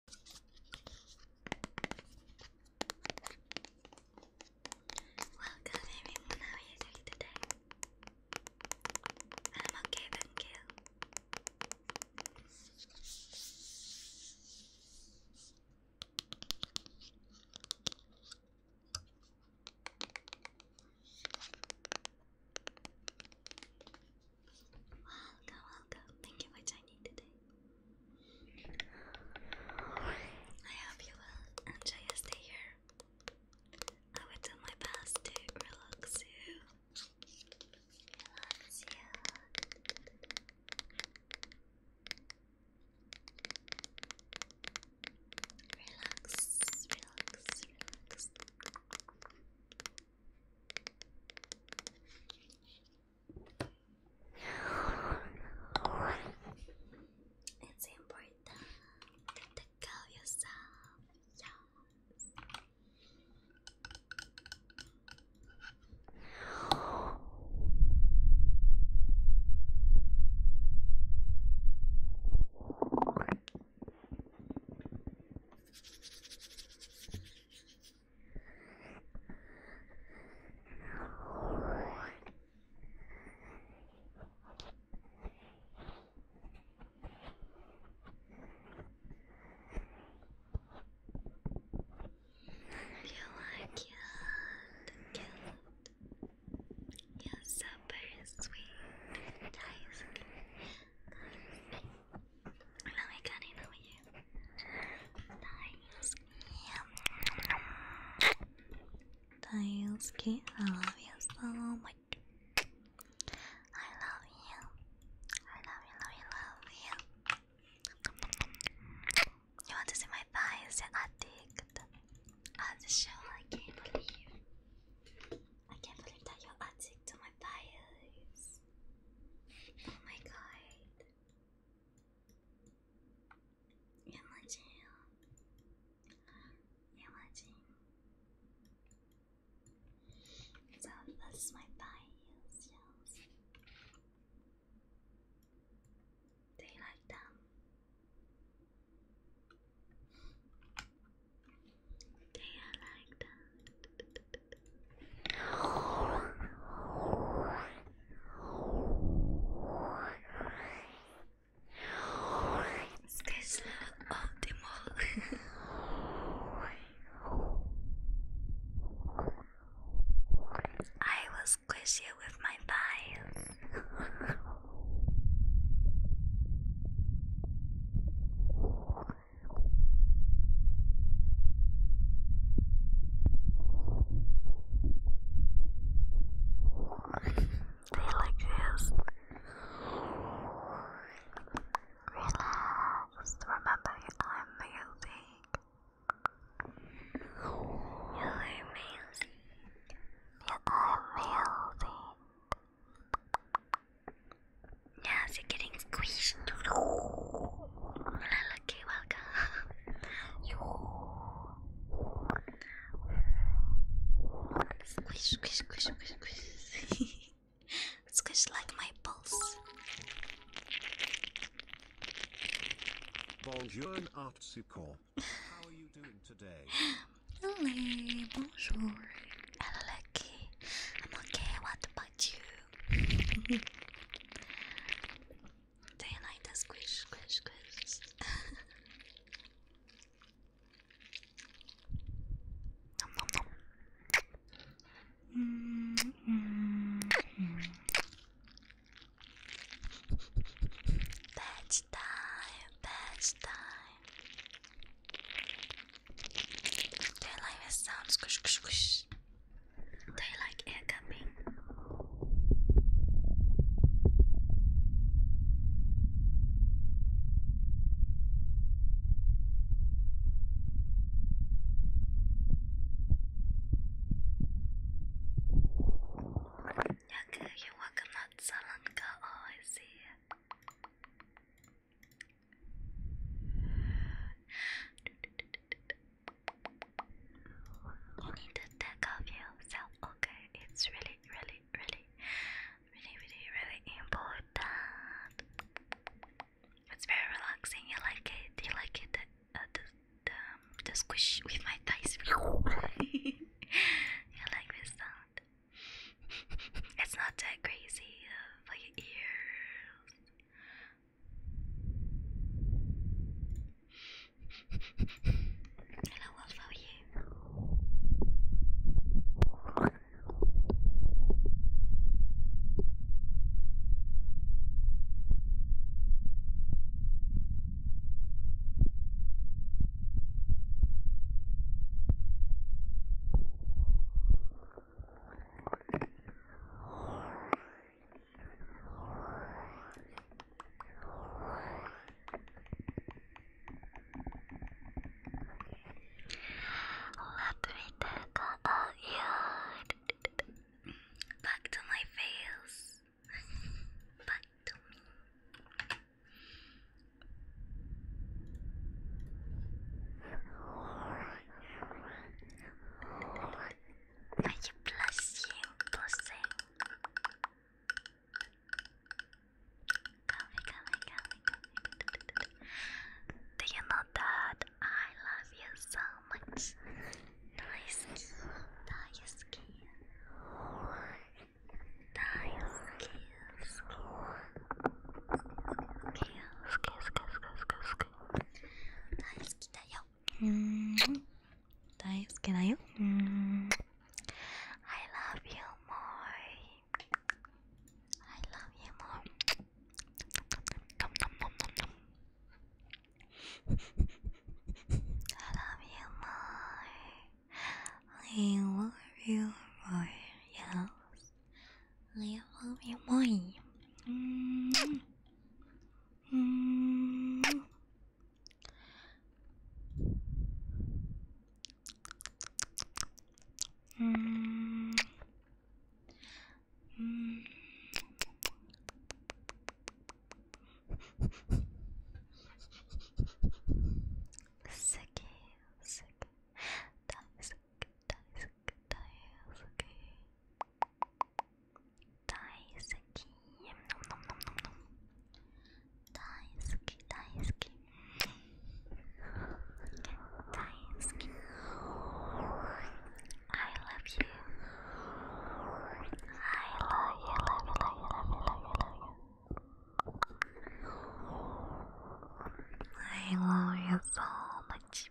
Welcome everyone, how are you doing today? I'm okay, thank you. Welcome, welcome. Thank you for joining today. I hope you will enjoy your stay here. I will do my best to relax you. Relax you. Relax, relax, relax. It's important to go yourself. You like it, cute. You're so sweet. Nice. No, I got it for you. Nice. Yeah. Daisuke, I love you so much. I love you. I love you, love you, love you. You want to see my thighs? You're addicted. i just show. I can't believe. I can't believe that you're addicted to my thighs. Oh my god. Imagine, imagine. So that's my bias. Yes. Do like them? Do like them? This not optimal. I will squish you with my thighs. Relax. Relax. Remember, I'm amazing. You're amazing. You're amazing. Yes, you're getting squeezed. Lucky, welcome. You. Squish, squish, squish, squish, squish. squish like my pulse. Bonjour, Artsuko. How are you I'm okay. What about you? room. Day and night, time, batch time. the sound? Squish, squish, squish. Do like air camping? Okay, you welcome not Salanka. Oh, I see. You need to take off yourself, okay? It's really, really, really, really, really, really important. It's very relaxing. You like it? You like it? The, uh, the, um, the, squish with my thighs. you like this sound? it's not that crazy uh, for your ears. And I will follow you. Let me take out you back to my face, back to I can bless you, blessing. Coming, coming, coming. Do you know that I love you so much? Nice skin, nice skin. Nice skin, skin. Skin, skin, skin, skin, skin. Nice skin. だよ。うーん大好きだよ。うーん I love you more. I love you more. I love you more. I love you more. Mm. Mm. Mm. Sicky, sick, die, sick, die, sick, I love you. I love you. I love you so much.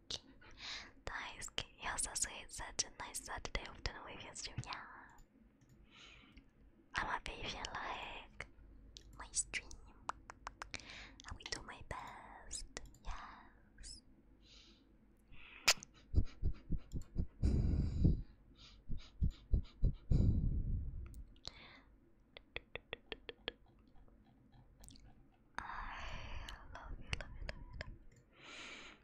Daisuke. Daisuke. Yes, I say it's such a nice Saturday afternoon with you, stream. Yeah. I'm happy if you like my stream. I will do my best. Yes. I you, love love you.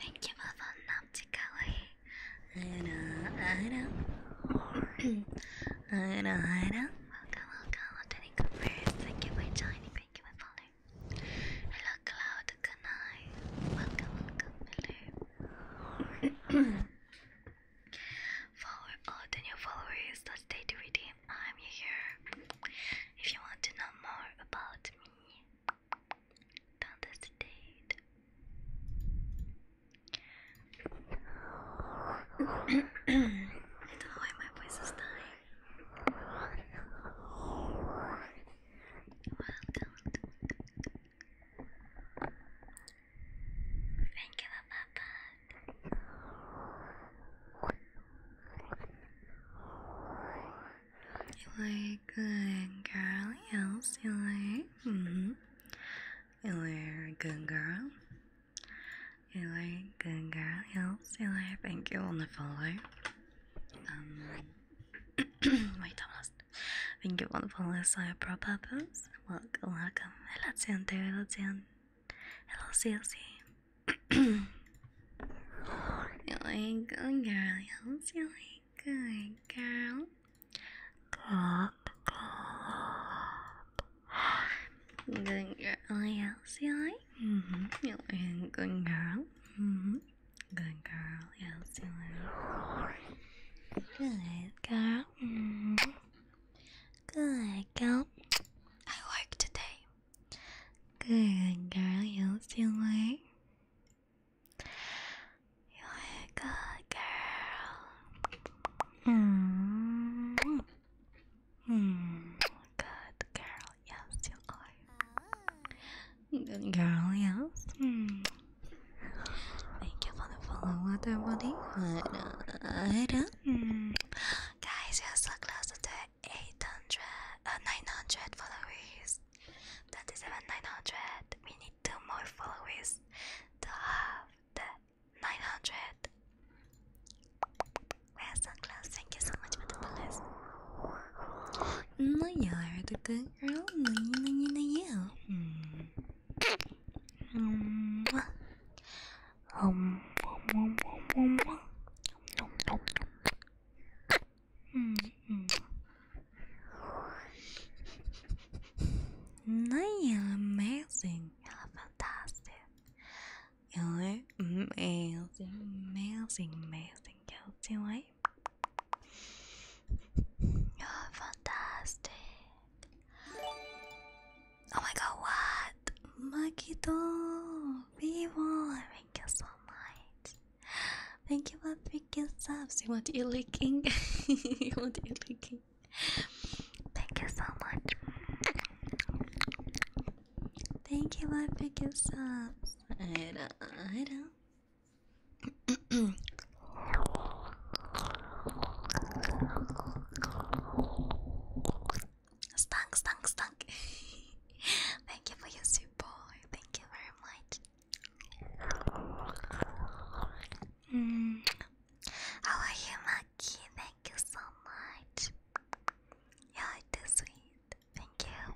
めっちゃマファンなっちかわいい。Ada, ada. Ada, ada. Welcome, welcome. Lieutenant Cooper. Thank you for joining. Thank you, my father. Hello, Cloud. Good night. Welcome, welcome, Miller. Follow all the new followers. Let's stay to redeem. I'm here. If you want to know more about me, don't hesitate. I don't know why my voice is dying. Welcome. Thank you about that. You like good girl, yes, you like. Mm-hmm. You're a good girl. You like good girl. You'll see later. Thank you on the follow. Um, wait, almost. Thank you on the follow. So pro purpose. Welcome, welcome. Hello, Ciante. Hello, Cian. Hello, CLC. you like good girl. You'll see like good girl. Good girl, yes, yeah. Mm You're a good girl. Mm -hmm. Good girl, yes, yeah. Good girl. Good girl. I work today. Good girl, yes, yeah. You're a good girl. Hmm. Hmm. Good girl. Yes, you are. Good girl. Yes. Hmm. Thank you for the follow, everybody. Right mm. Guys, you're so close to 800, uh, 900 followers. That is 900. We need two more followers to have the 900. We're Thank you so much for the palace. No, you are the girl. No, you, no, no, you. Mm. Um, you're amazing. You're fantastic. You're amazing, amazing, amazing. You're You're fantastic. Oh my god, what? My Makito, Vivo, thank you so much. Thank you for three subs. You want e-leaking? you want e-leaking? Thank you so much. Thank you, love picket subs. I know, I know. stunk, stunk, stunk. Thank you for your support. Thank you very much. Mm, how are you, Maki? Thank you so much. You're too sweet. Thank you.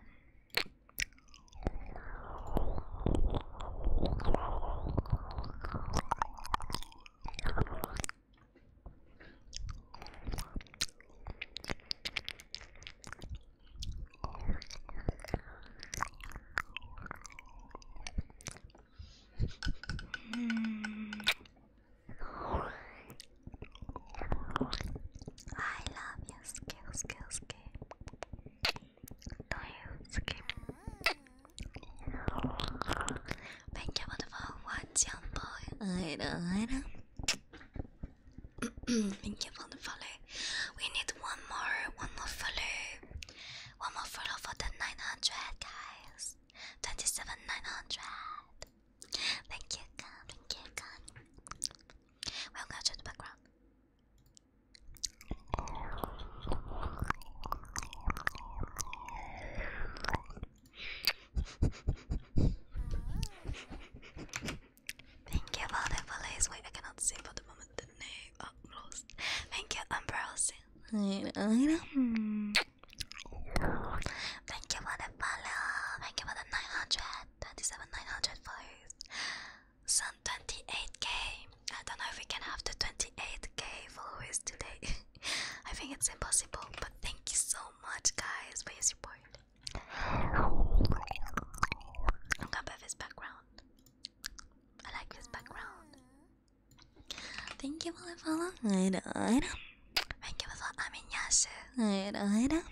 I love you, skill, skill, skip. Do you skip? Thank you for the watching, boy. I know, I know. Thank you for the follow. We need one more, one more follow. One more photo for the 900, guys. 27,900. Thank you, God. Thank you, God. We'll go to the background. Thank you for the police. Wait, I cannot see for the moment the name. Oh, lost. Thank you, I'm browsing. Uh, thank you for the follow. Thank you for the 900. 27, 900 followers. Some 28k. I don't know if we can have the 28k followers today. I think it's impossible, but thank you so much, guys, for your support. I'm gonna background. I like this background. Thank you for the follow. Right, right. Thank you for the I mean, yes. Right, right.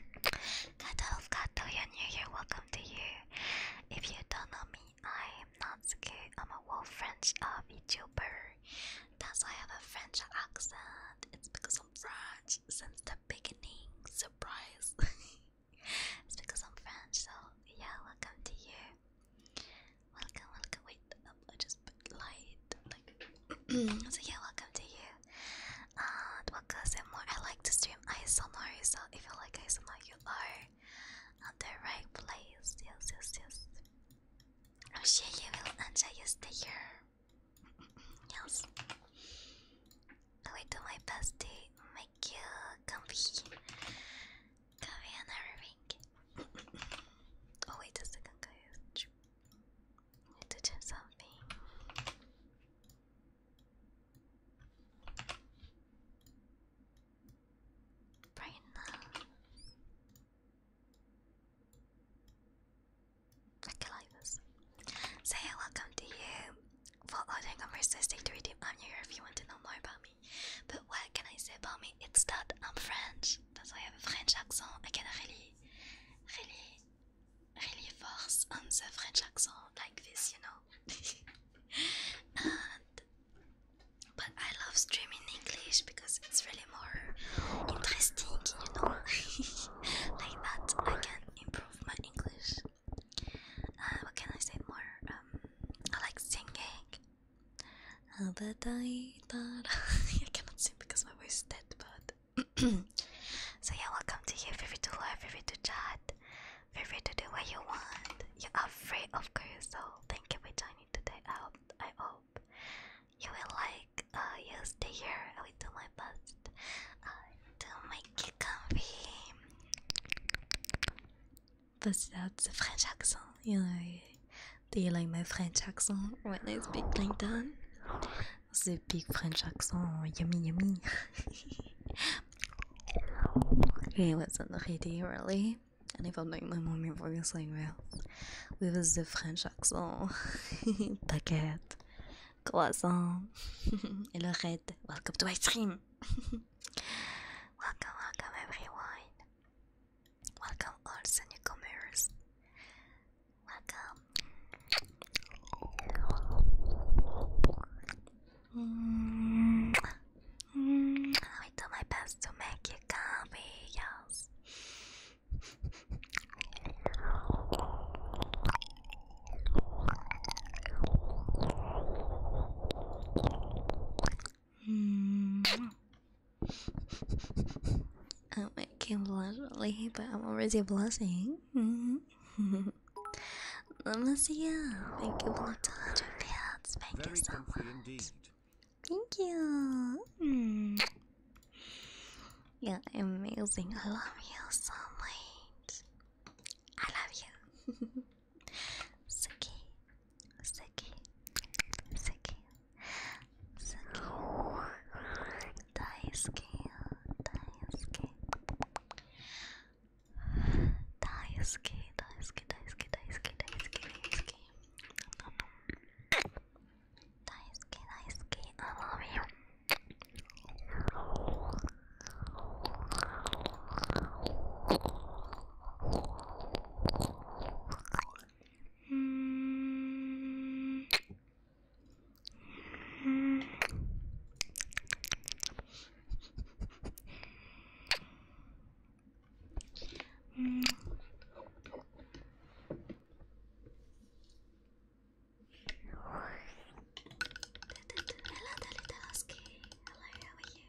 Catalog Kato, you're new here. Welcome to you. If you don't know me, I am not scared. I'm a wolf French uh, VTuber. That's why I have a French accent. It's because I'm French since the beginning. Surprise. it's because I'm French, so yeah, welcome to you. Welcome, welcome. Wait, um, I just lied. so yeah, welcome to you. welcome more. I like to stream ISMR, so if you like ISMR, you are at the right place. Yes, yes, yes. I'm sure you will enjoy your stay here. yes. I will do my best to make you comfy. Korean everything. oh wait a second guys. to check something. Right now. Okay, like Say welcome to you. For ordering on my Thursday to redeem, I'm here if you want to know more about me. But what can I say about me? It's that I'm French. That's why I have a French accent. I can really, really, really force on the French accent like this, you know. and, but I love streaming English because it's really more interesting, you know. like that, I can improve my English. Uh, what can I say more? Um, I like singing. I cannot sing because my voice is dead, but so yeah, welcome to here. Feel free to learn, feel free to chat, feel free to do what you want. You are free, of course. So thank you for joining today. I hope, I hope you will like. Uh, you stay here. I will do my best uh, to make you comfy bust out the French accent. You know, do you like my French accent when I speak like that? The big French accent, yummy, yummy. what's was the really, really. And if I felt like my mommy voice like We with the French accent. T'inquiète. Croissant. Et le red. Welcome to ice cream. welcome, welcome everyone. Welcome, also newcomers. Welcome. Mm -hmm. do my best to make you comfy, Mm -hmm. um, I can't blush really, but I'm already blushing. Mm -hmm. Namaste, you. Thank you for the hundred pounds. Thank you so much. Indeed. Thank you. Mm. Yeah, amazing. I love you so much. I love you. Suki, Suki, Suki, Suki, Daisuke, Daisuke, Daisuke, Daisuke, Daisuke, Daisuke, Daisuke, Daisuke, Daisuke, Daisuke, I love you. Mm -hmm. Mm -hmm. Hello, Dalita Husky. Hello, how are you?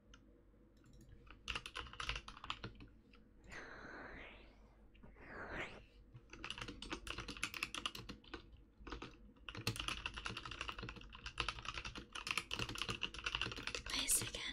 Wait a second.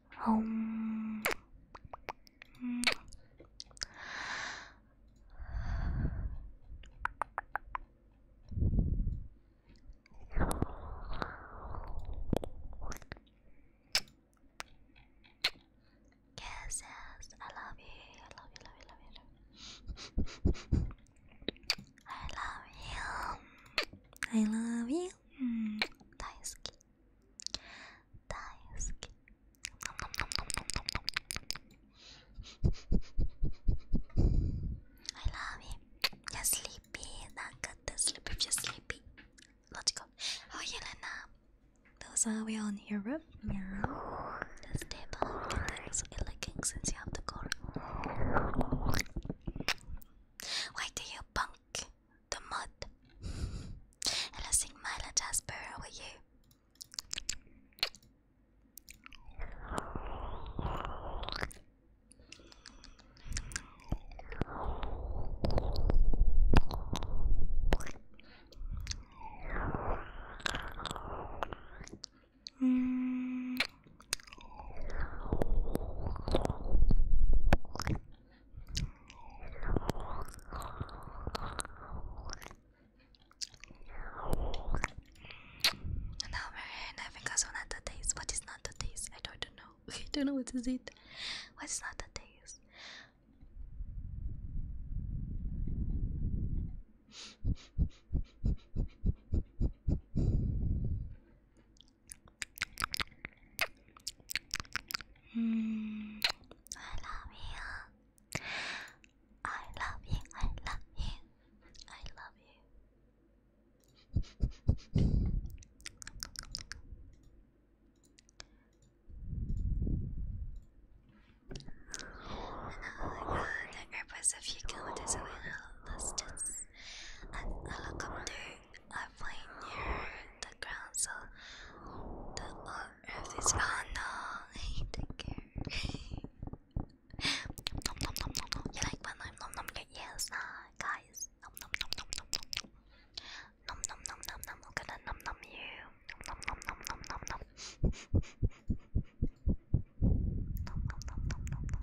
Oh, um, Yes, I love you. I love you, love Love you. I love you. I love you. Mm, daisuki. Daisuki. I love you. You're sleepy. Not good to sleep you're sleepy. Let's go. Oh, Yelena. Those are we on Europe? Yeah. This table contains a licking since you have the core. Why do you punk? the mud. Hello, Sing Myla Jasper, how are you? Mm now we're in Africa's one at the taste. What is not the taste? I don't know. I don't know what is it. What's not the taste? Mm, I love you. I love you. I love you. I love you. oh my god, the purpose of you killed is a little listed. And helicopter I play near the ground, so the earth is. Oh no! Take care. Nom nom nom nom nom. You like when I'm nom nom? Yes, uh, guys. Nom nom nom nom nom nom. Nom nom nom nom nom. I'm gonna nom nom you. Nom nom nom nom nom nom. nom nom nom nom nom nom.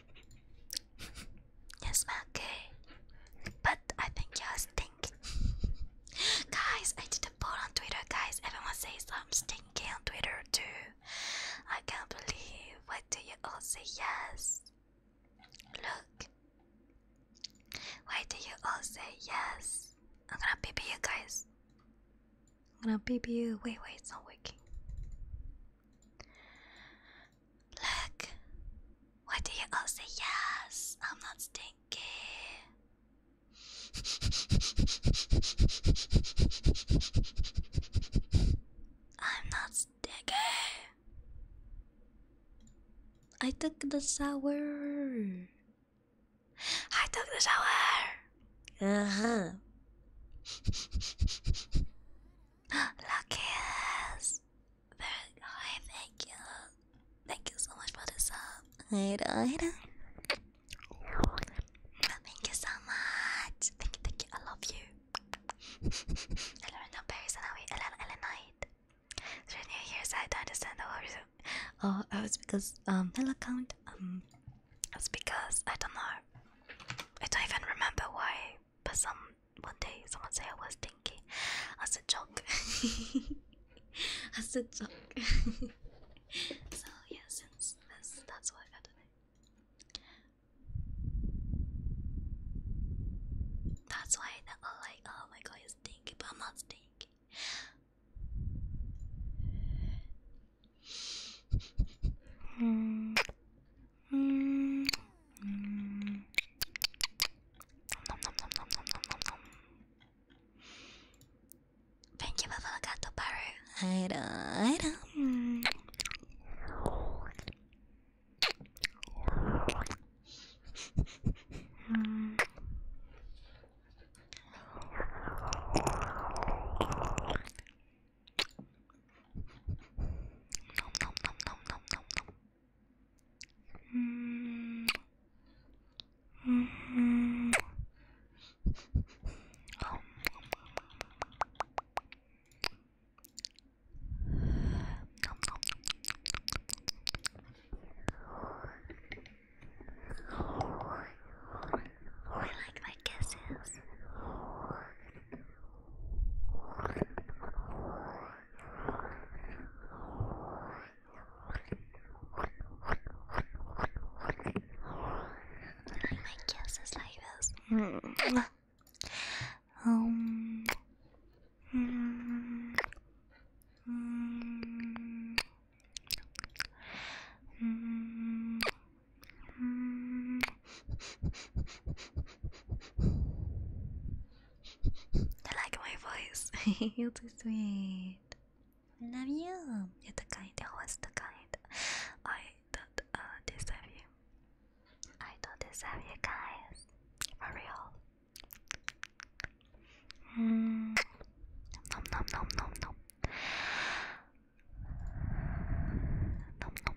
Yes, okay. But I think you are stinking. guys, I did a poll on Twitter, guys. Everyone says I'm stinking on Twitter too. I can't believe. What do you all say yes? Look. Why do you all say yes? I'm gonna pee you guys. I'm gonna pee you. Wait, wait, it's not working. Look, why do you all say yes? I'm not stinky. I'm not stinky. I took the shower. I took the shower. Uh huh. Luckiest. Very good. Thank you. Thank you so much for the sub. Thank you so much. Thank you, thank you. I love you. Eleanor Paris and I Elenite. Through New Year's I don't understand the whole Oh, oh it was because um hello count. Um it's because I don't know. I don't even remember why, but some one day someone said I was stinky as a joke. as a joke. so yeah, since that's what I got today. That's why they like, oh my god, you're stinky, but I'm not stinky. Mm. Mm -hmm. nom, nom, nom, nom, Thank you, I don't, I don't. Nom nom nom nom nom nom nom. Mm -hmm. oh. I like my kisses. My kiss is like this. Mm. Um. Mm. Mm. Mm. Mm. I like my voice. You're too sweet. Love you. You're the kind. Always the kind. I don't deserve you. I don't deserve you guys. For real. nom nom. Nom nom nom nom nom nom nom nom nom nom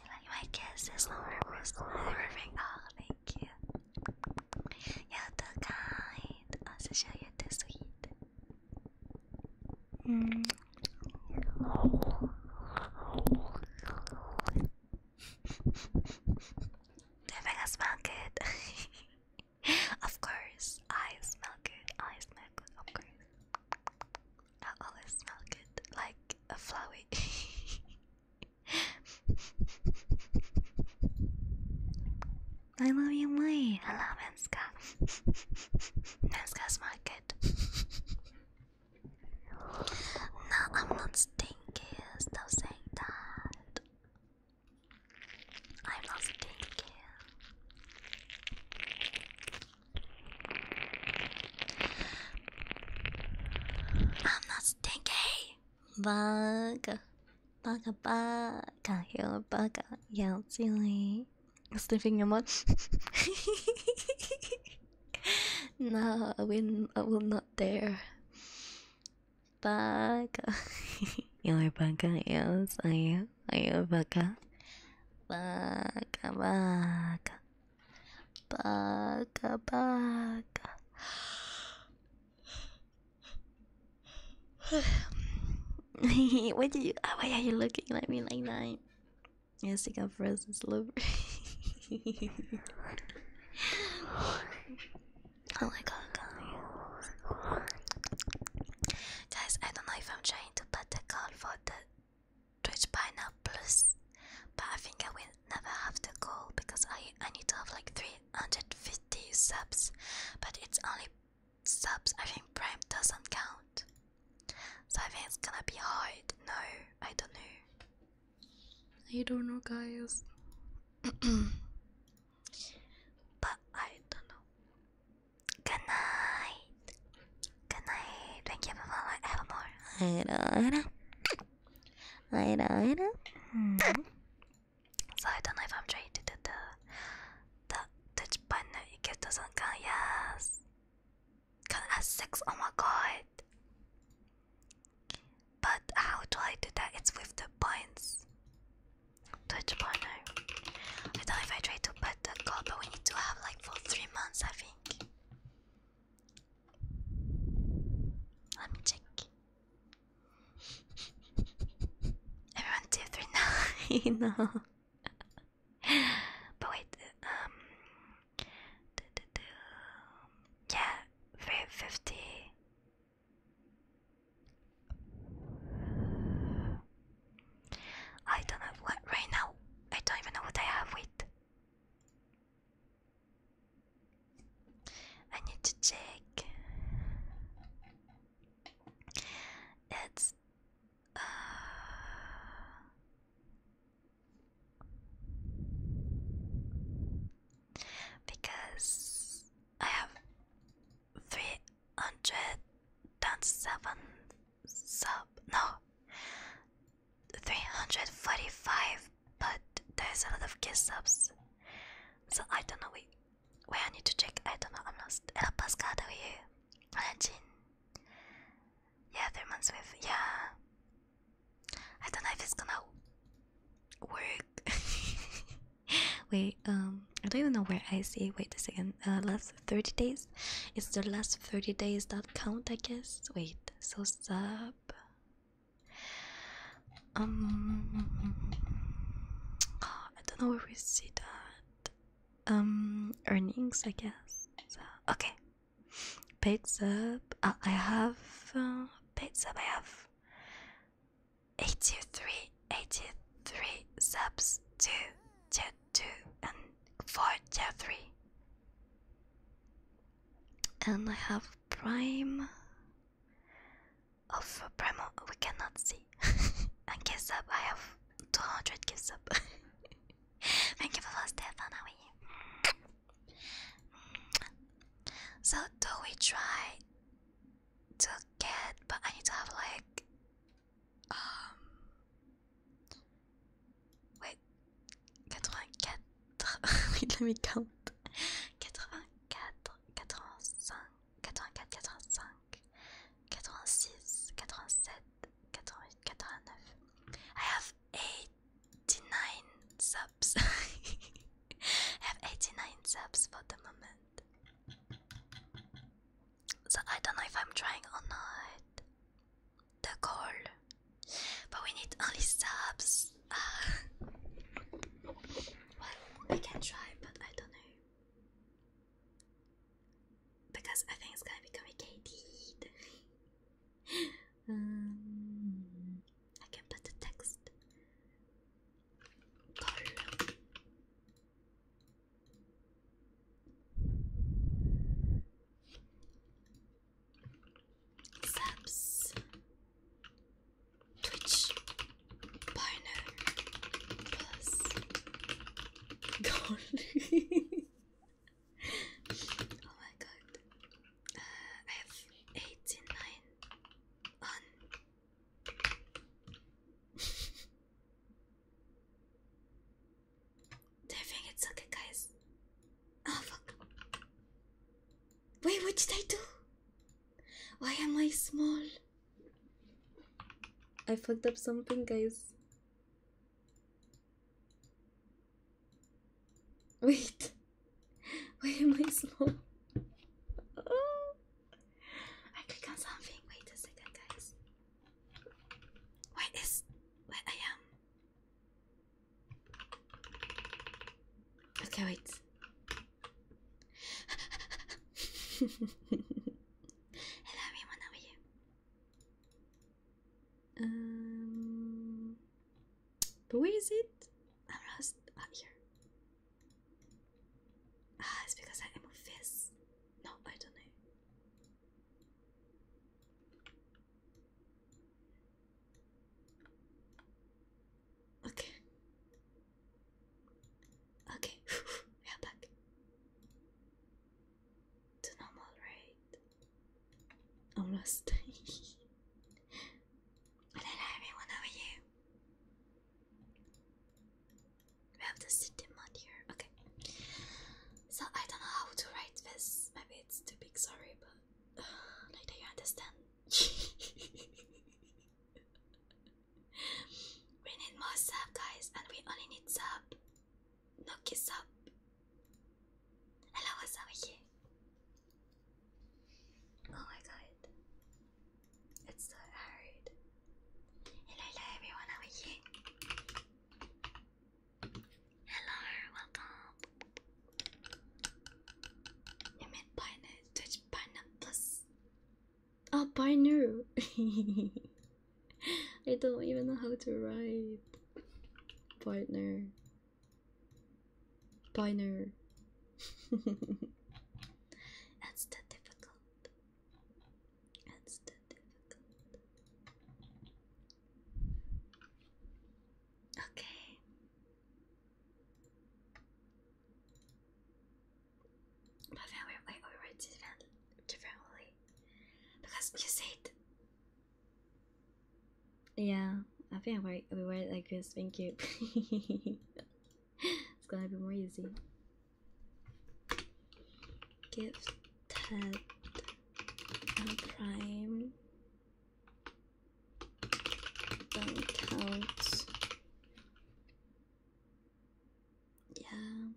Like my kiss is lower, Oh, thank you. You're too kind. Also, show you too sweet. Mm. Do I smell good? of course, I smell good. I smell good, I always smell good, like a flower. I love you, my. I love Menska. Menska's my good. No, I'm not stinky. Stop saying that. I'm not stinky. I'm not stinky. Bug, bugga, bugga, you're bugga, yeah, silly. Sniffing your mouth. no, I will. I will not dare. Bugga, you're bugga, yes, I am. I am bugga. Bugga, bugga. Baga baga. what did you? Oh, why are you looking at me like that? Yes, think I'm frozen slippery. oh my god, guys! Guys, I don't know if I'm trying to put the call for the Twitch plus, but I think I will never have to goal because I I need to have like 350 subs, but it's only subs. I think Prime doesn't count, so I think it's gonna be hard. No, I don't know. I don't know, guys. but I don't know. Good night. Good night. Thank you for following. Have more. Later. Later. Later. Mm -hmm. So I don't know if I'm trying to do the the touch button. It doesn't count. Yes. Count as six. Oh my god. But how do I do that? It's with the points. Touch partner. I don't know if I try to put the goal, but we need to have like for three months, I think. Let me check. Everyone, two, three, nine. but wait, um, do, yeah, three fifty. I don't know what right now. I don't even know what I have. Wait. I need to check. It's uh, because I have three hundred and seven sub no 345, but there's a lot of guest subs. So I don't know wait, wait I need to check, I don't know, I'm lost. El Pascal are you? Jin. Yeah, three months with yeah. I don't know if it's gonna work. wait, um I don't even know where I see wait a second. Uh, last thirty days? Is the last thirty days that count I guess? Wait, so sub. Um, I don't know where we see that. Um, earnings, I guess. okay, paid sub. Uh, I have uh, paid sub. I have 83, 83 subs. Two, two, and four three and I have prime of oh, prime. We cannot see. and guess up. I have two hundred gifts up. Thank you for the Stefan. How are you? So do we try to get? But I need to have like um, Ouais, 84. oui, la mi-count. 84, 85, I have 89 subs. I have 89 subs for the moment. So I don't know if I'm trying or not the call, but we need only subs. Uh, well, I can try, but I don't know because I think it's gonna be complicated. um, I can put the text. Call subs, Twitch partner plus oh my god. Uh, I have 89 Everything it's okay, guys. Oh fuck! Wait, what did I do? Why am I small? I fucked up something, guys. Wait, why am I small? Oh. I click on something. Wait a second, guys. Where is where I am? Okay, wait. Hello, everyone. How are you? Um, where is it? I'm lost. Up here. Ah, it's because I am a face. No, I don't know. Okay. Okay, we are back to normal, right? Almost. But hello, everyone, how are you? We have the city mod here. Okay. So I don't know how to write this. Maybe it's too big. Sorry, but do you understand? we need more sub, guys, and we only need sub. No kiss up. Hello, what's over here? Oh my god, it's so hard. Hello, hello, everyone over here. Hello, welcome. You mean Pioneer, Twitch Pioneer Plus? Oh, Pioneer! I don't even know how to write. Partner. Pioneer. That's too difficult. That's too difficult. Okay. But then we, we, we write it differently. Because you said. Yeah, I think we, we write like this. Thank you. it's gonna be more easy. Give Ted prime don't count. Yeah.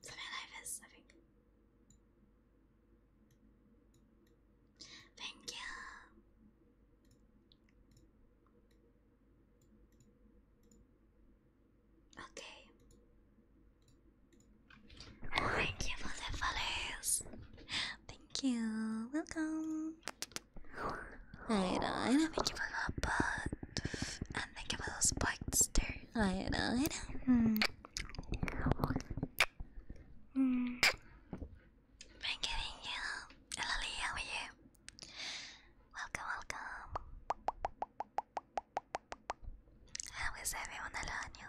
So my I think. Thank you. Okay. Thank you for the follows. Thank you. Welcome. Uh, I don't you for the butt. And thank you for the spikes too. Aida, Aida. Mm. Mm. Thank you, thank you. Lily, how are you? Welcome, welcome. I everyone around you,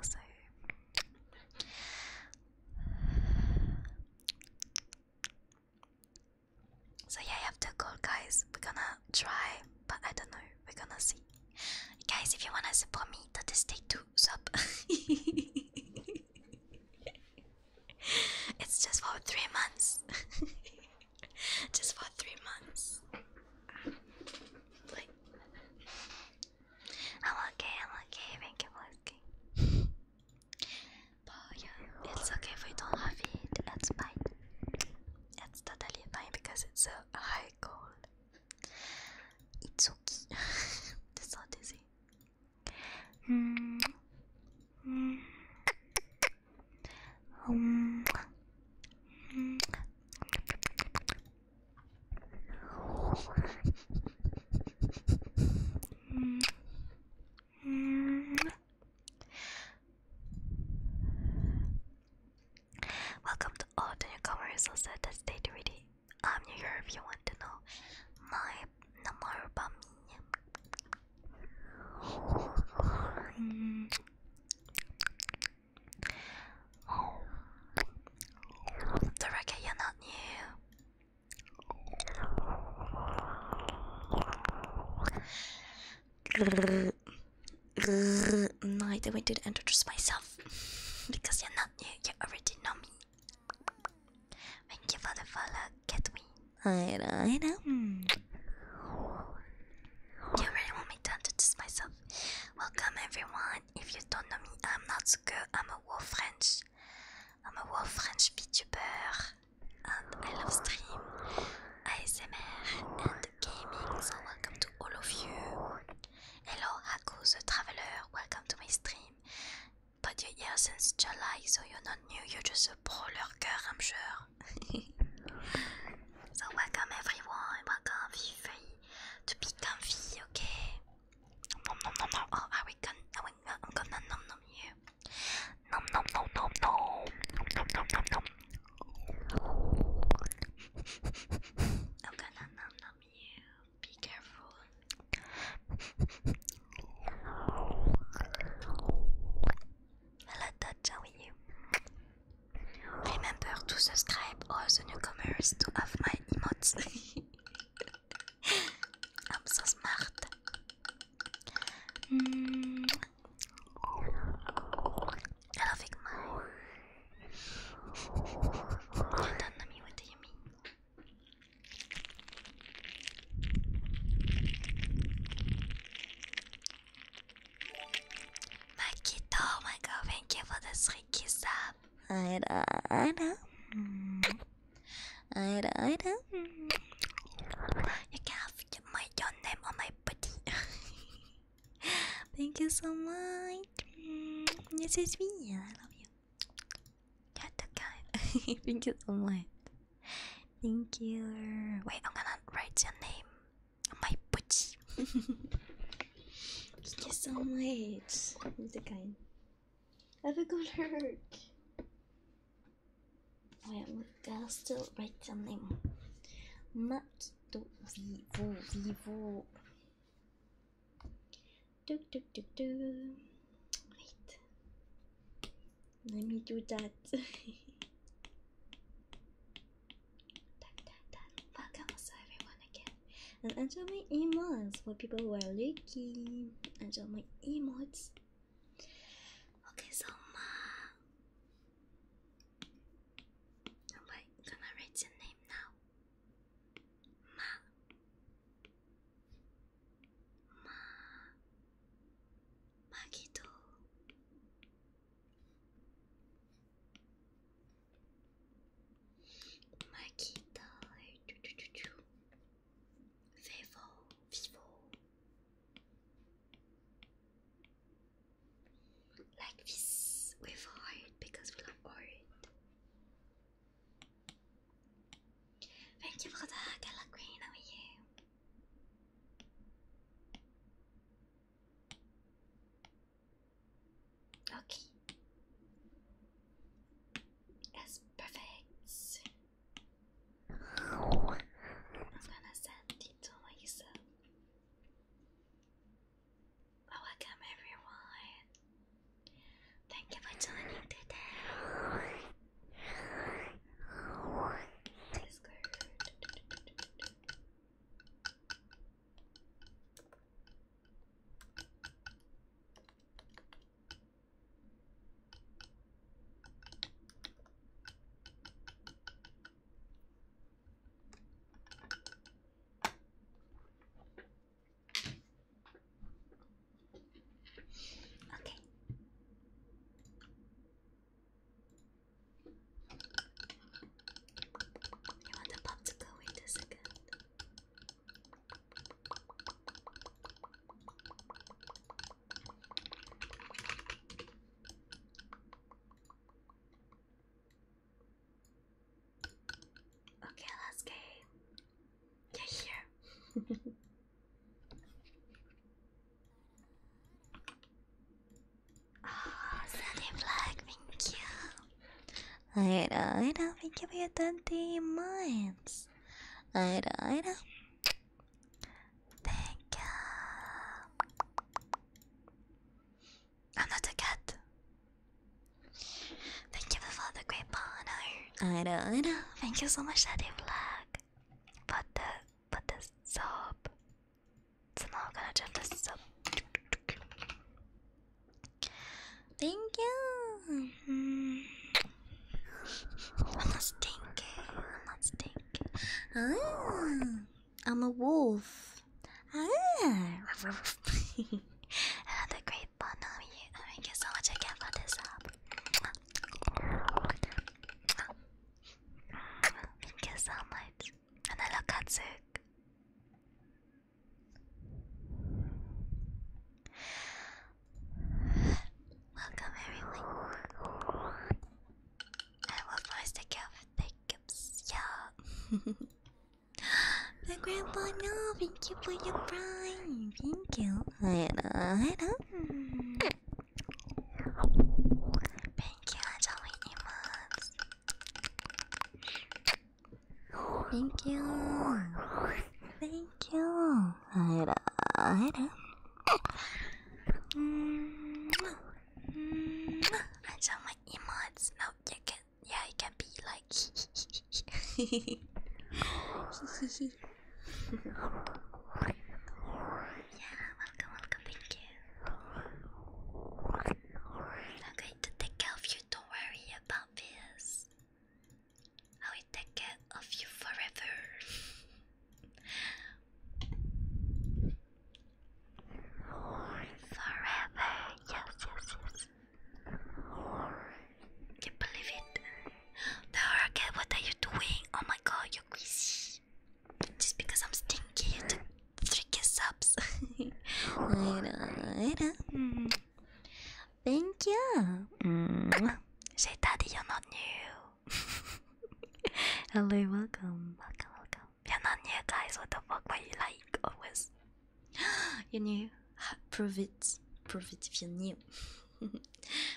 so yeah, I have to go, guys. We're gonna try, but I don't know. We're gonna see. Guys, if you wanna support me, just take two sub. it's just for three months. just for three months. I'm okay, I'm okay, thank you for asking. but yeah, it's okay if we don't have it, it's fine. It's totally fine because it's a high goal. It's okay. That's all dizzy. Mm. Mm. Um mm. Welcome to all the newcomers also stay ready. I'm here if you want to know my number about me the record you're not new. no, I did do to introduce myself because you're not new. You already know me. Thank you for the follow, Catwin. I know, I know. You really want me to introduce myself? Welcome, everyone if you don't know me, I'm not so good. I'm a Wolf French. I'm a Wolf French VTuber. And I love stream, ASMR, and gaming. So welcome to all of you. Hello, Haku the Traveler. Welcome to my stream. But you're here since July, so you're not new. You're just a brawler girl, I'm sure. so welcome everyone. Welcome, feel free to be comfy, okay? Nom nom nom nom. Oh, are gonna? Are we, uh, I'm gonna nom nom you. Nom nom nom nom nom. Nom nom nom nom. I'm gonna nom nom you. Be careful. Hello, Dutch. How are you? Remember to subscribe all the newcomers to have my emotes. I'm so smart. Mm. You don't know me. What do you mean? Makito, my girl, thank you for the three kisses. I alright. Alright, alright. You can have my your name on my body. Thank you so much. This is me. I love you. You're the kind. Thank you so much. Thank you. Wait, I'm gonna write your name on my body. Thank you so much. You're the kind. Have a good work. Well, we gotta still write something. Mat do vivo vivo. Do do do do. Wait. Let me do that. Welcome, so everyone again and enjoy my emotes for people who are looking. Enjoy my emotes. Okay, so Ma, am I write your name now? Ma, Ma, Magito. Ma guitare. Vivo, vivo. Like this with heart because we love art. Thank you for the color green, how are you? Okay. Yes, perfect. I'm gonna send it to Lisa. Welcome everyone. Thank you for joining today. Okay. You want the pop to go in a second. Okay, let's game. Yeah, here. oh, Sunny Black, thank you. Alright, alright, thank you for your 20 months. Alright, alright. Thank you. I'm not a cat. Thank you for the great honor. I know, I know. Thank you so much, Daddy Black. But the but the soap. So now gonna jump the soap. Thank you. Mm-hmm. I'm not stinking. I'm ah, not stinking. I'm a wolf. Ah. Another great fun Thank you so much again for this up. Thank you so much. And hello, Katsuk. Welcome everyone. I will force the cat for My grandpa, no, thank you for your prime. Thank you. Hello, hello. Thank you, Jolly Thank you. Thank you. Alright, alright. Mm-hmm. I saw my emotes. Now you can, yeah, it can be like. yeah, welcome, welcome, thank you. I'm going to take care of you, don't worry about this. I will take care of you forever. forever, yes, yes, yes. Can't believe it. The hurricane, what are you doing? Oh my god, you're crazy. Just because I'm stinky, you took three kiss ups. I know, I know. Thank you. Mm. Say daddy, you're not new. Hello, welcome. Welcome, welcome. You're not new, guys. What the fuck were you like always? you're new. Prove it. Prove it if you're new. welcome.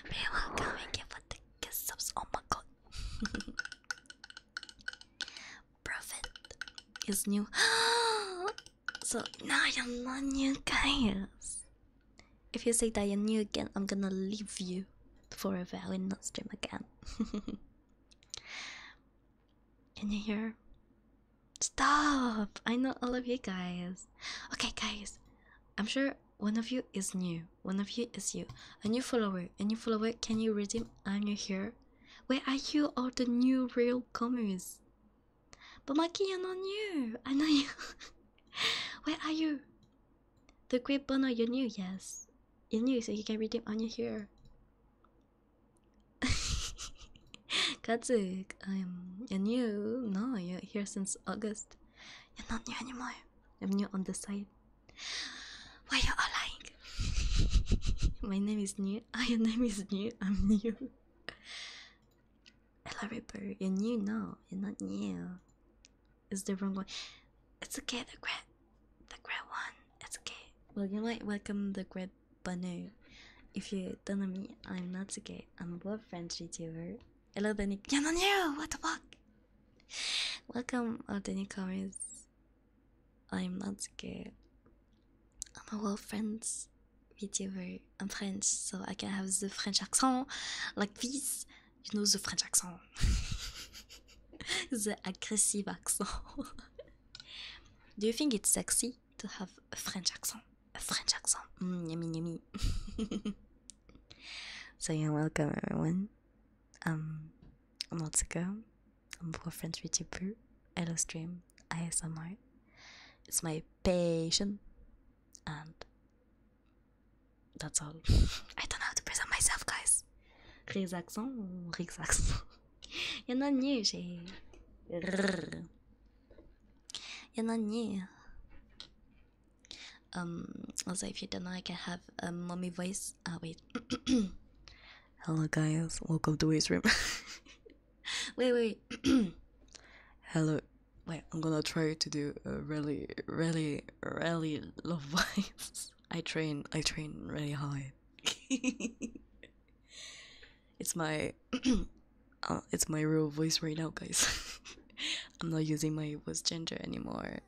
Thank you the gift Oh my god. Prove it. Is new. So now you're not new guys. If you say that you're new again, I'm gonna leave you for a while and not stream again. Can you hear? Stop! I know all of you guys. Okay, guys, I'm sure one of you is new. One of you is you. A new follower. A new follower. Can you read redeem? I'm new here. Where are you, all the new real comers? But my key are not new. I know you. Where are you? The Great Bono, you're new, yes. You're new, so you can redeem on your hero. Katsuk, um, you're new. No, you're here since August. You're not new anymore. I'm new on the side. Why you all lying? My name is new. Oh, your name is new. I'm new. I love it, bro. You're new, no, you're not new. It's the wrong one. It's okay, the great, the great one. It's okay. Well, you might welcome the great Banu. If you don't know me, I'm not okay. I'm a French YouTuber. Hello, Danny. You're not new. What the fuck? Welcome, all the newcomers. I'm not scared. I'm a French friends VTuber. I'm French, so I can have the French accent like this. You know the French accent, the aggressive accent. Do you think it's sexy to have a French accent? A French accent, mm, yummy, yummy. so you're welcome, everyone. Um, I'm Otsuka. I'm a French VTuber. Hello, stream. ASMR. It's my patient, and that's all. I don't know how to present myself, guys. Rexaxon, Rexaxon. You're not new, she. You're new. Um, also, if you don't know, I can have a mommy voice. Ah, wait. Hello, guys. Welcome to Waste Room. wait, wait. Hello. Wait, I'm gonna try to do a really, really, really low voice. I train, I train really hard. it's my, uh, it's my real voice right now, guys. I'm not using my voice gender anymore.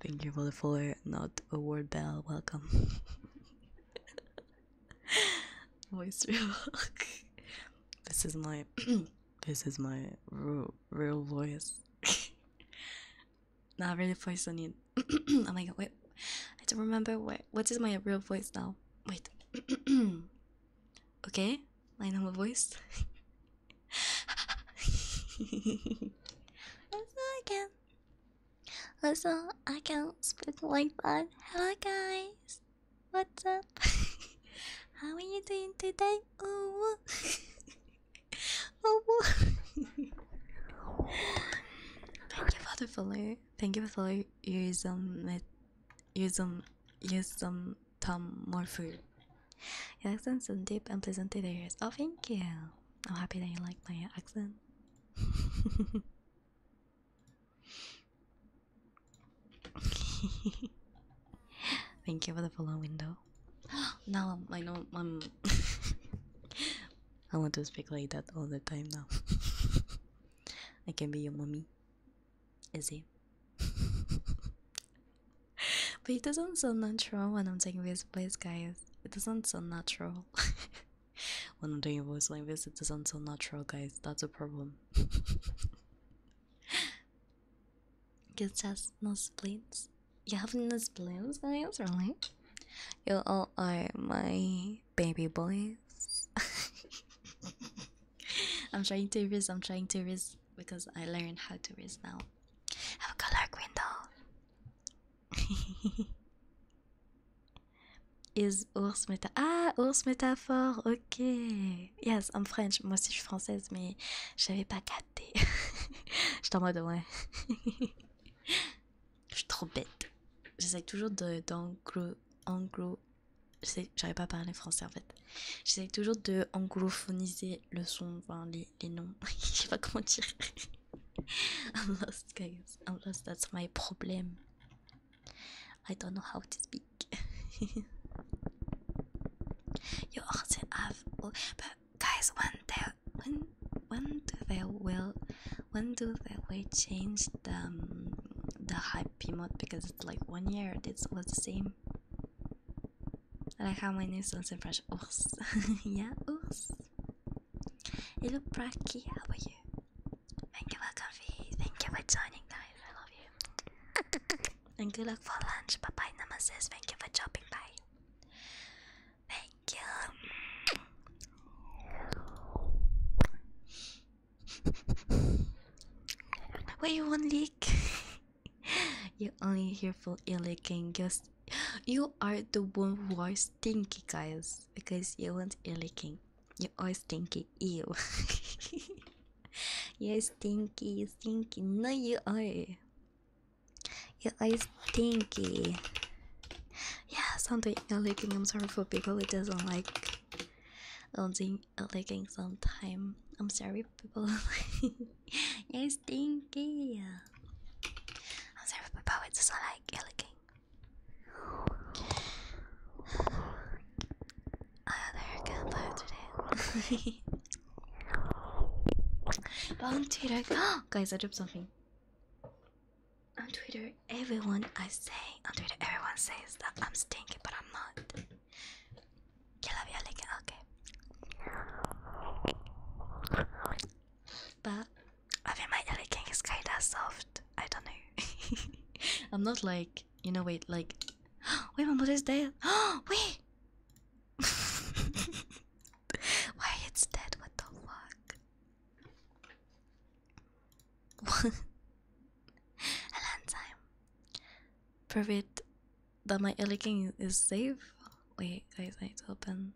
Thank you for the follow, not award bell. Welcome. Voice This is my this is my real real voice. Not really poisoning. oh my god, wait. I don't remember what what is my real voice now. Wait. okay, my normal voice. again. Also, I can't speak like that. Hello, guys. What's up? How are you doing today? Oh, oh. Thank you for the follow. Thank you for the follow. Use some, use some, use some Tom more food. Accents some deep and pleasant areas. Oh, thank you. I'm happy that you like my accent. Thank you for the follow window. now I know i I want to speak like that all the time now. I can be your mommy. Is it? but it doesn't sound natural when I'm taking this place, guys. It doesn't sound natural. when I'm doing voice like this, it doesn't sound natural, guys. That's a problem. Guess that's no splints. You have no splints, guys, really? You all are my baby boys. I'm trying to risk, I'm trying to risk because I learned how to risk now. Have a color window. Is ours métaphore. Ah, ours métaphore, ok. Yes, I'm French. Moi aussi, je suis française, mais j'avais pas capté. J'étais en mode, ouais. Je suis trop bête. J'essaie toujours d'anglo. Anglo. J'arrive pas à parler français en fait. J'essaie toujours de anglophoniser le son, enfin les, noms. Je sais pas comment dire. I'm lost, guys. I'm lost. That's my problem. I don't know how to speak. you also have, but guys, when they when when do they will when do they will change the um, the hype mode because it's like one year It's always the same. Like how my name sounds in French. Ours. yeah, ours. Hello, Bracky. How are you? Thank you for coffee. Thank you for joining, guys. I love you. and good luck for lunch. Bye bye, Namaste. Thank you for dropping by. Thank you. What you want, not leak. you only here for illeaking. Just you are the one who are stinky, guys because you want ear licking. You're always stinky. Ew. you're stinky, stinky. No, you are. You're stinky. Yeah, something ear licking. I'm sorry for people who doesn't like i owning ear licking sometime. I'm sorry, people. Yeah, stinky. I'm sorry, people who doesn't like ear licking. I had a campfire today. but on Twitter, guys, I dropped something. On Twitter, everyone I say on Twitter, everyone says that I'm stinky, but I'm not. Okay. But I think my LA is kinda soft. I don't know. I'm not like you know wait like wait my mother's dead. Oh wait Why it's dead, what the fuck? One A long time. Prove it that my LA is safe. Wait guys I need to open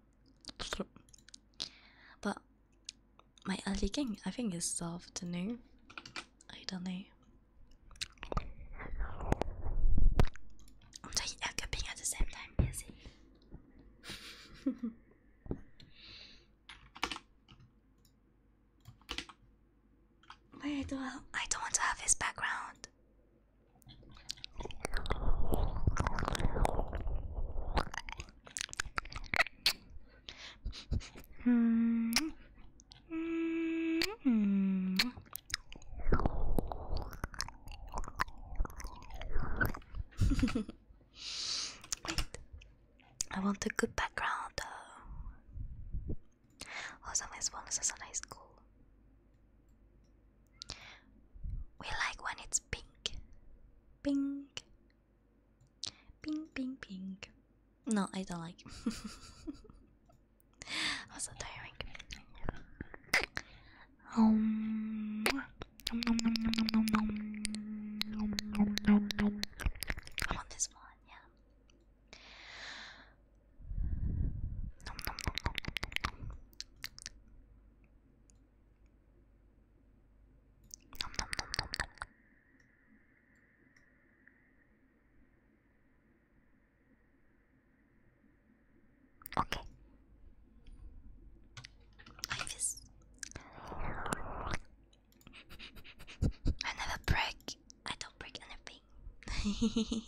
but my early king, I think it's the afternoon. I don't know. I'm taking I don't want to have his background. Mm -hmm. Wait, I want a good background. Also, my bonus is high school. We like when it's pink. Pink, Ping, ping, ping. No, I don't like. I'm so tiring. Um, I want this one, yeah. Okay. I never break. I don't break anything.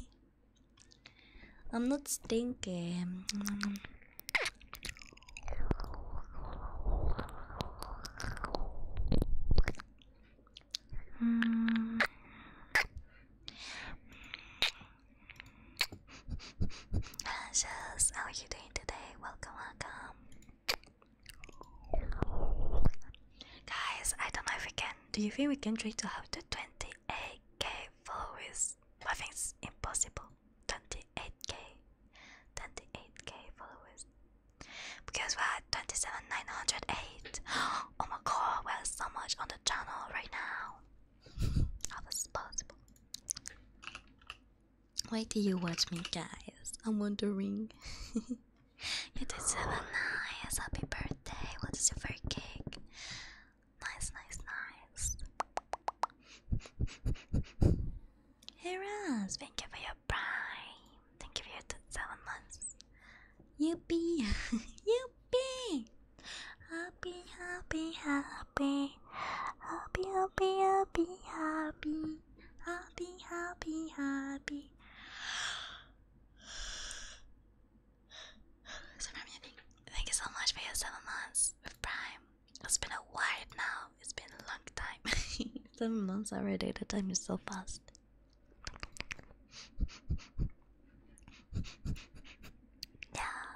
I'm not stinking. Mm. how are you doing today? Welcome, welcome. Guys, I don't know if we can. Do you think we can try to have the 28k followers? I think it's impossible. 28k 28k followers because we're at 27908 oh my god we're so much on the channel right now how is this possible why do you watch me guys i'm wondering you did seven happy birthday what is your first cake nice nice nice Heras, thank you for your prime. Thank you for your seven months. Yuppie, yuppie. Happy, happy, happy. Happy, happy, happy, happy. Happy, happy, happy. So, Rami, thank you so much for your seven months with Prime. It's been a while now. It's been a long time. Seven months already. The time is so fast. yeah,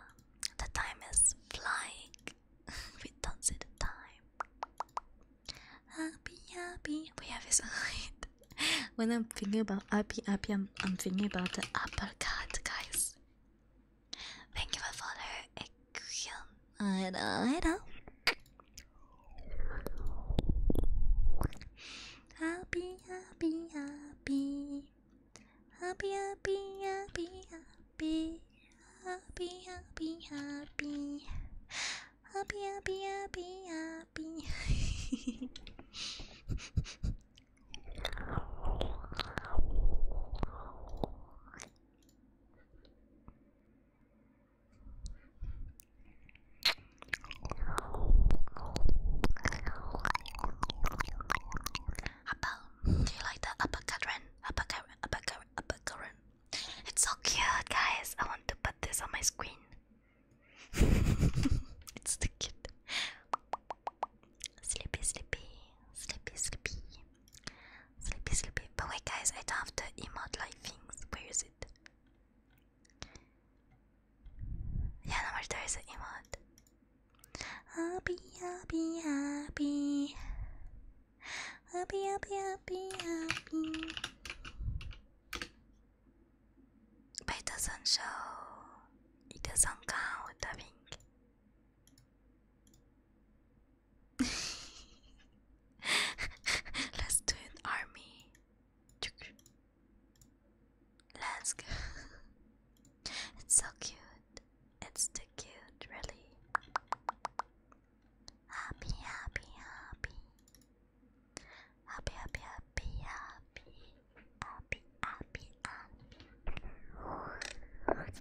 the time is flying. we don't see the time. Happy, happy. We have his height. when I'm thinking about happy, happy, I'm, I'm thinking about the uppercut, guys. Thank you, my father. Hello, hello. Happy, happy, happy. Happy, happy, happy, happy. Happy, happy, happy. Happy, happy, happy, happy. Appa, do you like the upper current? Upper current, upper current, upper It's so cute, guys. I want to put this on my screen. it's too cute. Sleepy, sleepy, sleepy, sleepy. Sleepy, sleepy. But wait, guys, I don't have the emote like things. Where is it? Yeah, number there is an emote. Happy, happy, happy. Happy, happy, happy, happy. But it does show. It doesn't count, I think. Let's do an army. Let's go. It's so cute. It's too cute, really. Happy, happy, happy. Happy, happy, happy, happy. Happy, happy,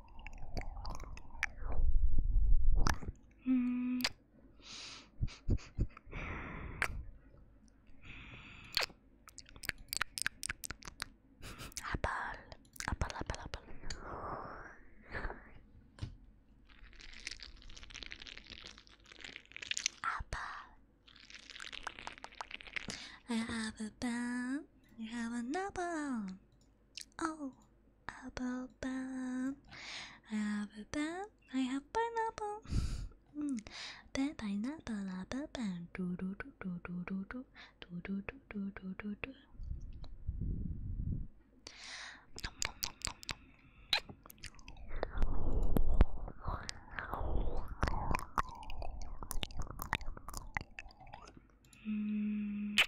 Mm. Apple, apple, apple, apple. I have a pen. You have an apple. Oh, apple bun, apple bun. I have pineapple. mm. Pine pineapple, apple banana, Do do do do do do do do do do do do do. Mm.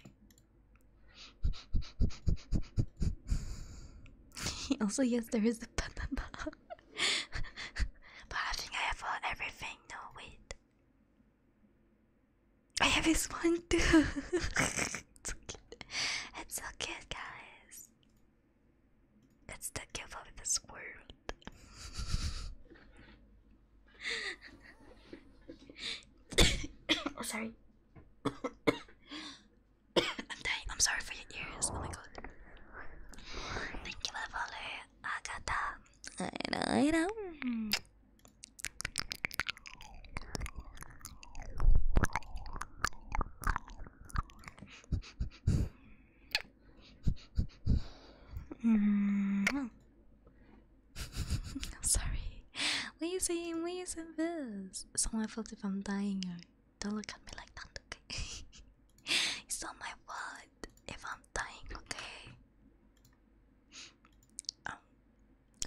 also, yes, there is the ba But I think I have for everything. No, wait. I have this one too. it's, so cute. it's so cute, guys. It's the gift of this world oh, sorry. I'm sorry for your ears. Oh my god. Thank you for following. I got I know. I know. -hmm. I'm sorry. Lazy, lazy this. Someone felt if I'm dying. Don't look at me like that, okay? it's not my fault if I'm dying, okay? Um,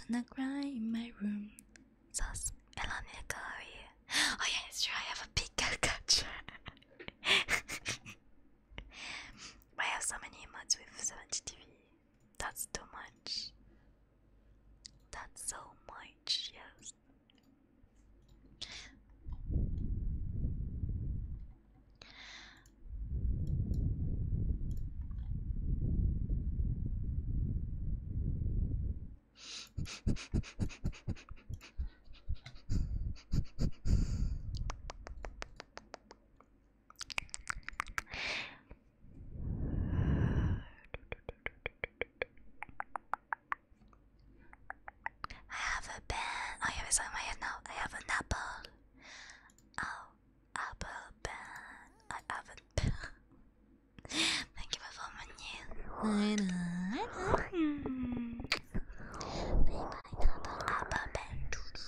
and I cry in my room. Says, Elania Kari. Oh, yeah, it's true. I have a big caricature. I have so many emotes with 70 TV. That's too much. That's so much, yes. I have a pen. Oh, yeah, it's on now. I have an apple. Oh, apple pen. I have a pen. Thank you for following me. Bye bye, apple, apple pen.